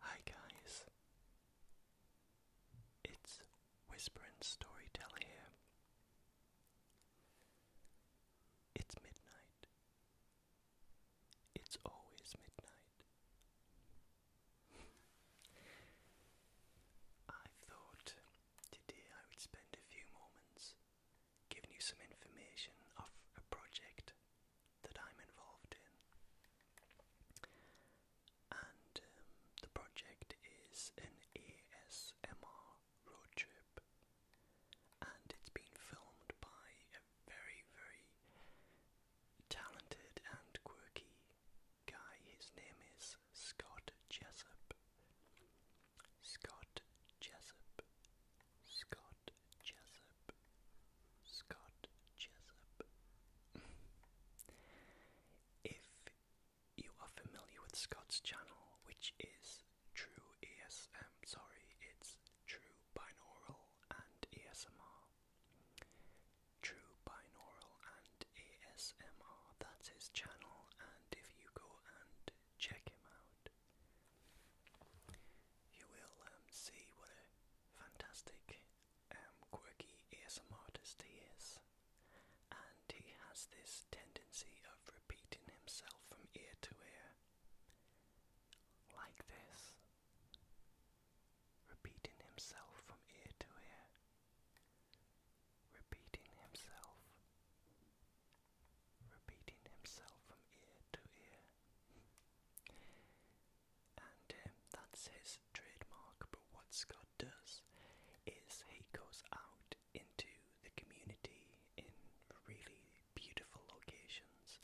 Hi guys, it's Whispering Storyteller here. It's midnight. It's always midnight. I thought today I would spend a few moments giving you some information of a project that I'm involved in. And um, the project is an ASMR road trip, and it's been filmed by a very, very talented and quirky guy. His name is Scott Jessup. Scott Jessup Scott Jessup. Scott Jessup. if you are familiar with Scott's channel, which is True ASM, sorry, it's True Binaural and ASMR. True Binaural and ASMR, that's his channel, and if you go and check him out, you will um, see what a fantastic, um, quirky ASM artist he is. And he has this tendency of repeating himself from ear to ear. Like this. Repeating himself from ear to ear. Repeating himself repeating himself from ear to ear. And um, that's his trademark, but what Scott does is he goes out into the community in really beautiful locations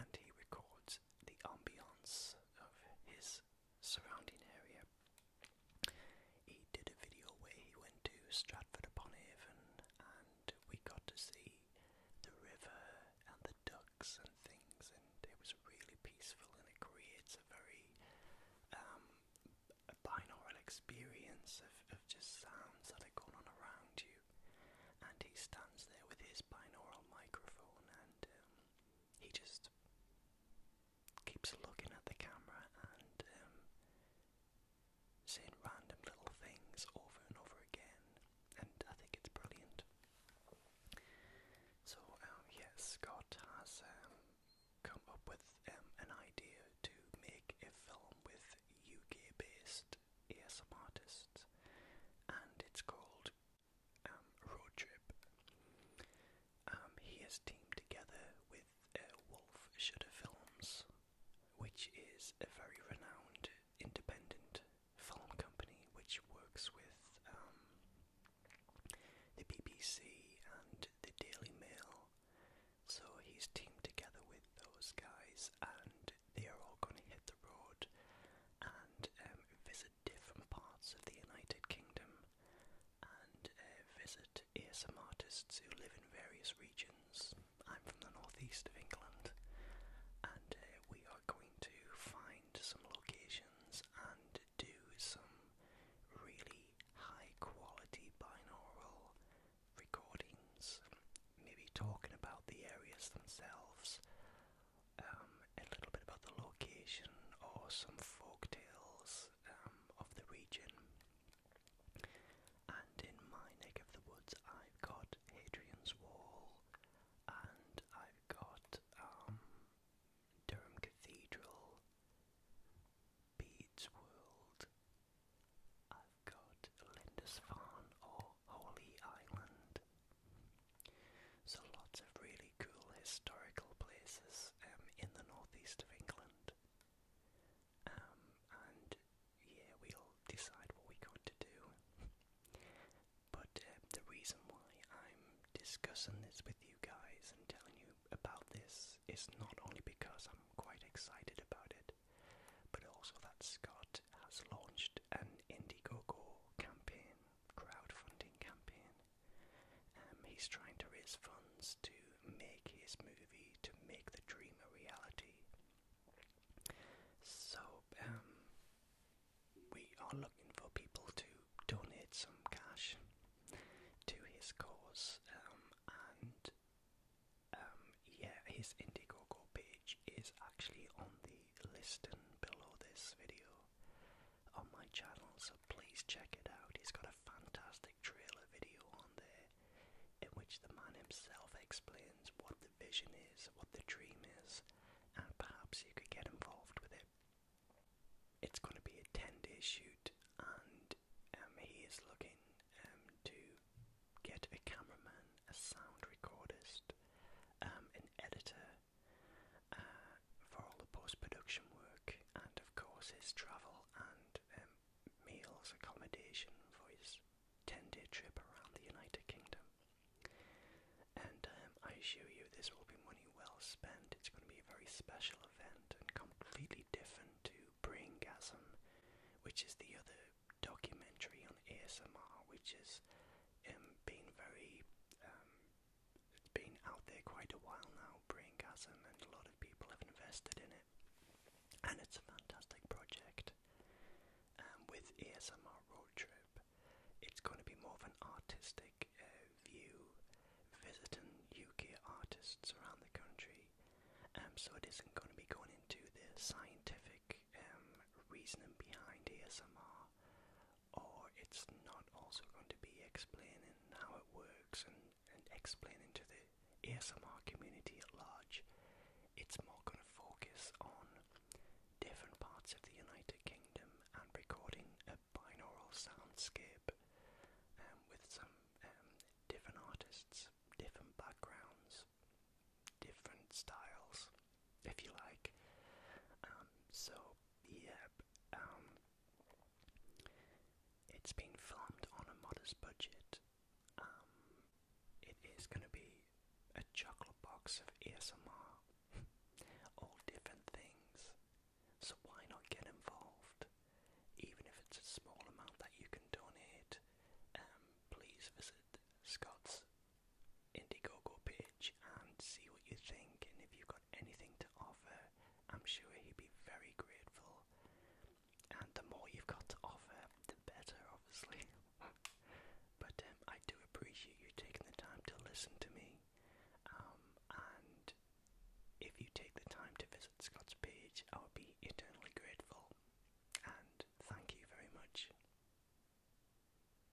and he records the ambience of his surrounding area. He did a video where he went to Stratford upon Avon and we got to see the river and the ducks and things, and it was really peaceful, and it creates a very um, a binaural experience of, of just sounds that are going on around you. And he stands there with his binaural microphone, and um, he just keeps looking at the camera, and um, saying random little things over and over again, and I think it's brilliant. So, um, Scott has um, come up with um, an idea to make a film with UK based ASM artists, and it's called um, Road Trip. he has teamed together with uh, Wolf Shudder Films, which is a very renowned independent film company which works with um, the BBC and the Daily Mail. So he's teamed together with those guys, and they are all going to hit the road and um, visit different parts of the United Kingdom and uh, visit about ASM artists who live in various regions. I'm from the northeast of England, and uh, we are going to find some locations and do some really high quality binaural recordings, maybe talking about the areas themselves, um, a little bit about the location or some folk tales um, of the region. And in my neck of the woods, I've got Hadrian's Wall, and I've got um, Durham Cathedral, Bede's World, I've got Lindisfarne or Holy Island. So lots of really cool historical places um, in the northeast of England. Um, and yeah, we'll decide what we're going to do. but uh, the reason why I'm discussing this with you guys and telling you about this is not only because I'm quite excited about it, but also that Scott has launched an Indiegogo campaign, crowdfunding campaign, um, he's trying to raise funds to make his movie, to make the dream a reality. So, um, we are looking for people to donate some cash to his cause, um, and yeah, his Indiegogo page is actually on the list listing below this video on my channel, so please check it out. He's got a fantastic trailer video on there in which the man himself explains what the vision is, what the dream is, and perhaps you could get involved with it. It's going to be a 10 day shoot, and um, he is looking um, to get a cameraman, a sound recordist, um, an editor. Uh, for all the post-production work and of course his travel and um, meals, accommodation for his 10-day trip around the United Kingdom. And um, I assure you this will be money well spent. It's going to be a very special event and completely different to Braingasm, which is the other documentary on ASMR, which is um, being very it's been out there quite a while now, Braingasm, and a lot of people have invested in it. And it's a fantastic project. Um, with ASMR Road Trip, it's going to be more of an artistic uh, view, visiting UK artists around the country. Um, so it isn't going to be going into the scientific um, reasoning behind ASMR or it's not also going to be explaining how it works and, and explaining to the ASMR community at large. It's more going to focus on different parts of the United Kingdom and recording a binaural soundscape um, with some um, different artists, different backgrounds, different styles, if you like. Um, so, yeah, um, it's been filmed on a modest budget. Um, it is going to be a chocolate box of ASMR, all different things. So why not get involved? Even if it's a small amount that you can donate, um, please visit Scott's Indiegogo page and see what you think. And if you've got anything to offer, I'm sure he'd be very grateful. And the more you've got to offer, the better, obviously. but um, I do appreciate you taking the time to listen to me. Um, and if you take the time to visit Scott's page, I would be eternally grateful. And thank you very much.